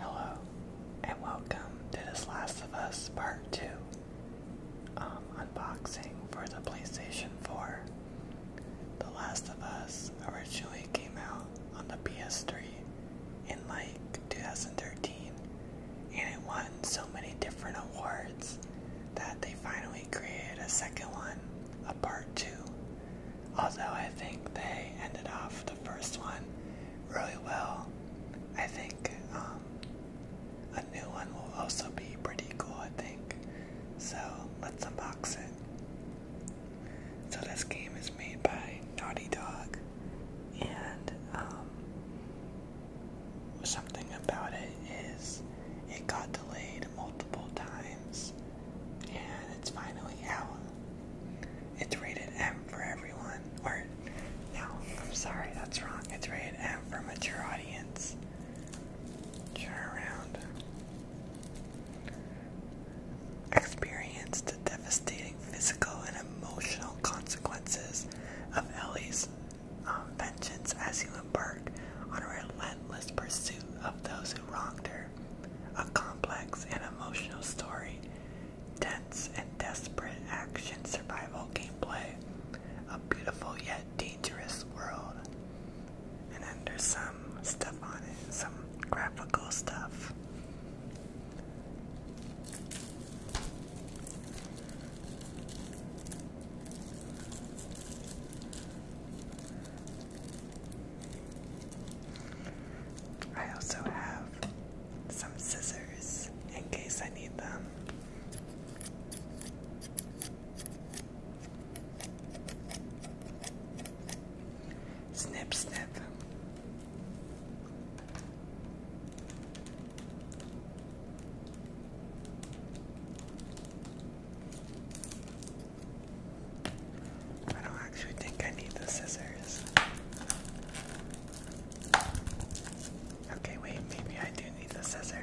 Hello, and welcome to this Last of Us Part 2 um, unboxing for the PlayStation 4. The Last of Us originally came out on the PS3 in like 2013, and it won so many different awards that they finally created a second one, a Part 2. Although I think they ended off the first one really well. I think um, a new one will also be pretty cool, I think. So let's unbox it. So this game is made by Naughty Dog, and um, something about it is it got delayed multiple times, and it's finally out. It's rated M for everyone. Or, no, I'm sorry, that's wrong. It's rated M for mature audience. Turn around. Experience the devastating physical and emotional consequences of Ellie's um, vengeance as you embark on a relentless pursuit of those who wronged her a complex and emotional story, tense and desperate action survival gameplay, a beautiful yet dangerous world. And then there's some stuff on it, some graphical stuff. I also have some scissors in case I need them. Snip, snip. I don't actually think I need the scissors. Okay, wait, maybe I do need the scissors.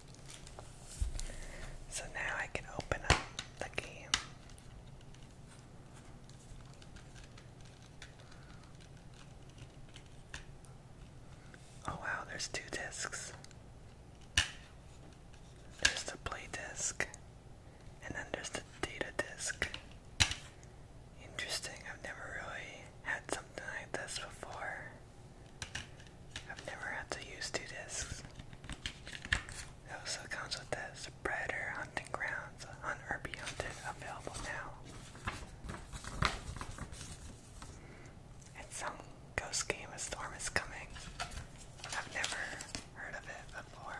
So now I can open up the game. Oh wow, there's two discs. There's the play disc, and then there's the data disc. Interesting, I've never really had something like this before. I've never had to use two discs. It also comes with this Predator Hunting Grounds Hunted available now. It's some ghost game, A Storm is Coming. I've never heard of it before.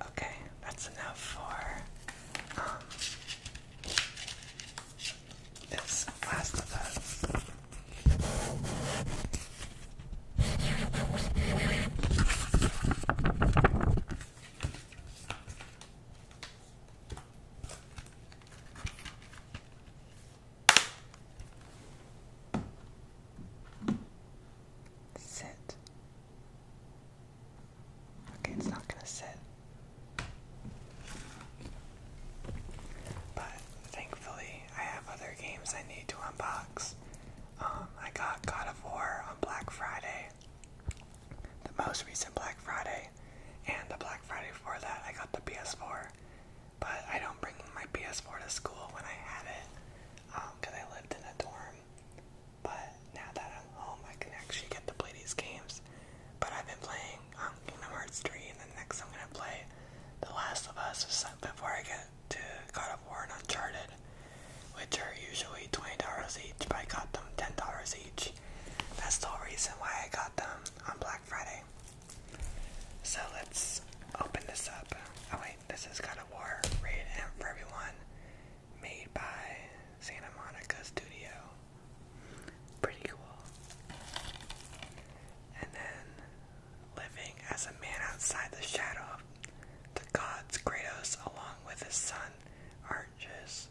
Okay, that's enough for um, this Last of Us. Sit. Okay, it's not gonna sit. But thankfully, I have other games I need to unbox. Um, I got God of War on Black Friday the most recent Black Friday, and the Black Friday before that, I got the PS4. But I don't bring my PS4 to school when I had it, because um, I lived in a dorm. But now that I'm home, I can actually get to play these games. But I've been playing um, Kingdom Hearts 3, and then next I'm gonna play The Last of Us before I get to God of War and Uncharted, which are usually $20 each, but I got them $10 each. That's the whole reason why I got them on Black Friday. So let's open this up. Oh wait, this is God of War rated for everyone. Made by Santa Monica Studio. Pretty cool. And then living as a man outside the shadow of the gods Kratos along with his son Arches,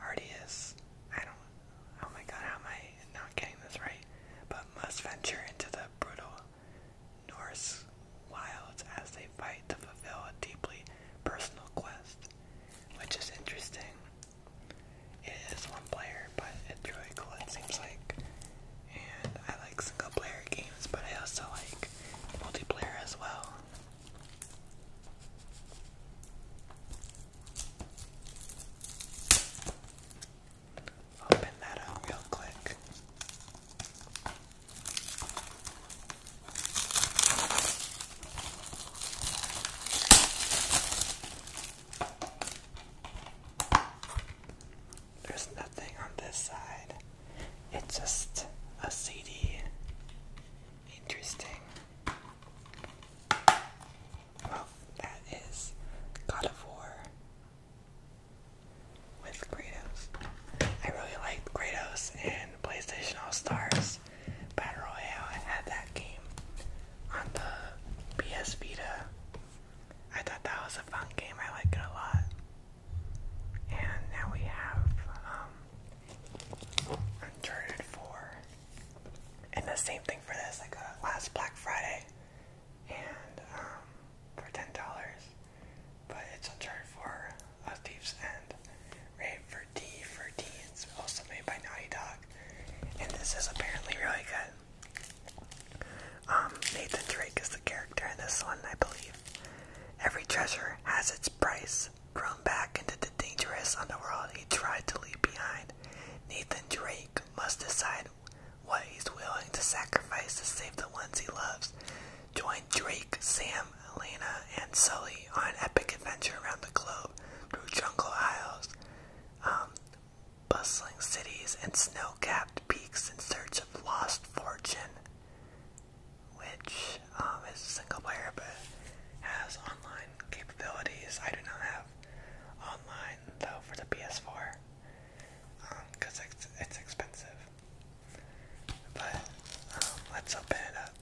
Artius, I don't, oh my god, how am I not getting this right? But must venture into the brutal Norse wilds as they fight to fulfill a deeply personal quest, which is interesting. It is one player, but it's really cool, it seems like. And I like single player games, but I also like multiplayer as well. Open that up real quick. There's nothing on this side. It's just a CD. Interesting. Well, that is God of War with Kratos. I really liked Kratos in PlayStation All Stars Battle Royale. I had that game on the PS Vita. I thought that was a fun game. I like it a lot. And now we have um, Uncharted 4. And the same thing for this. like uh, last Black Friday. And um, for $10. But it's Uncharted for A Thief's End. Rated for D for D. also made by Naughty Dog. And this is apparently really good. Um, Nathan Drake is the character in this one, I believe. Every treasure has its price. Thrown back into the dangerous underworld he tried to leave behind, Nathan Drake must decide what he's willing to sacrifice to save the ones he loves. Join Drake, Sam, Elena, and Sully on an epic adventure around the globe through jungle isles, um, bustling cities, and snow capped peaks in search of lost fortune which um, is single player but has online capabilities. I do not have online though for the PS4 because um, it's, it's expensive. But um, let's open it up.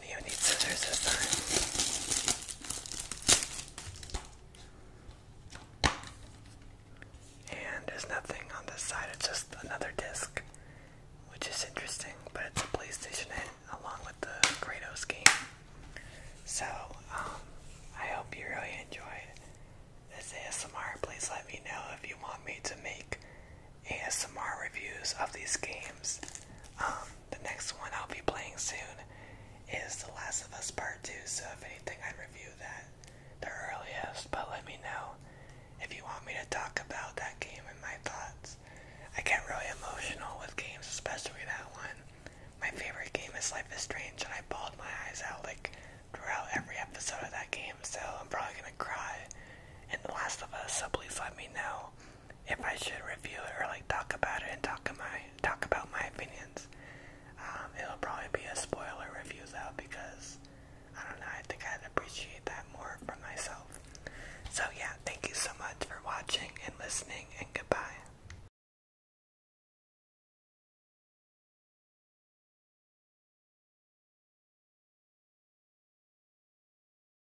And there's nothing on this side, it's just another disc, which is interesting, but it's a PlayStation along with the Kratos game. So, um, I hope you really enjoyed this ASMR. Please let me know if you want me to make ASMR reviews of these games. Um, the next one I'll be playing soon is The Last of Us Part 2, so if anything, I'd review that the earliest, but let me know if you want me to talk about that game and my thoughts. I get really emotional with games, especially that one. My favorite game is Life is Strange, and I bawled my eyes out like throughout every episode of that game, so I'm probably gonna cry in The Last of Us, so please let me know if I should review it or like talk about it and talk my talk about my opinions. Um, it'll probably be a spoiler review though because I don't know. I think I'd appreciate that more for myself. So yeah, thank you so much for watching and listening, and goodbye.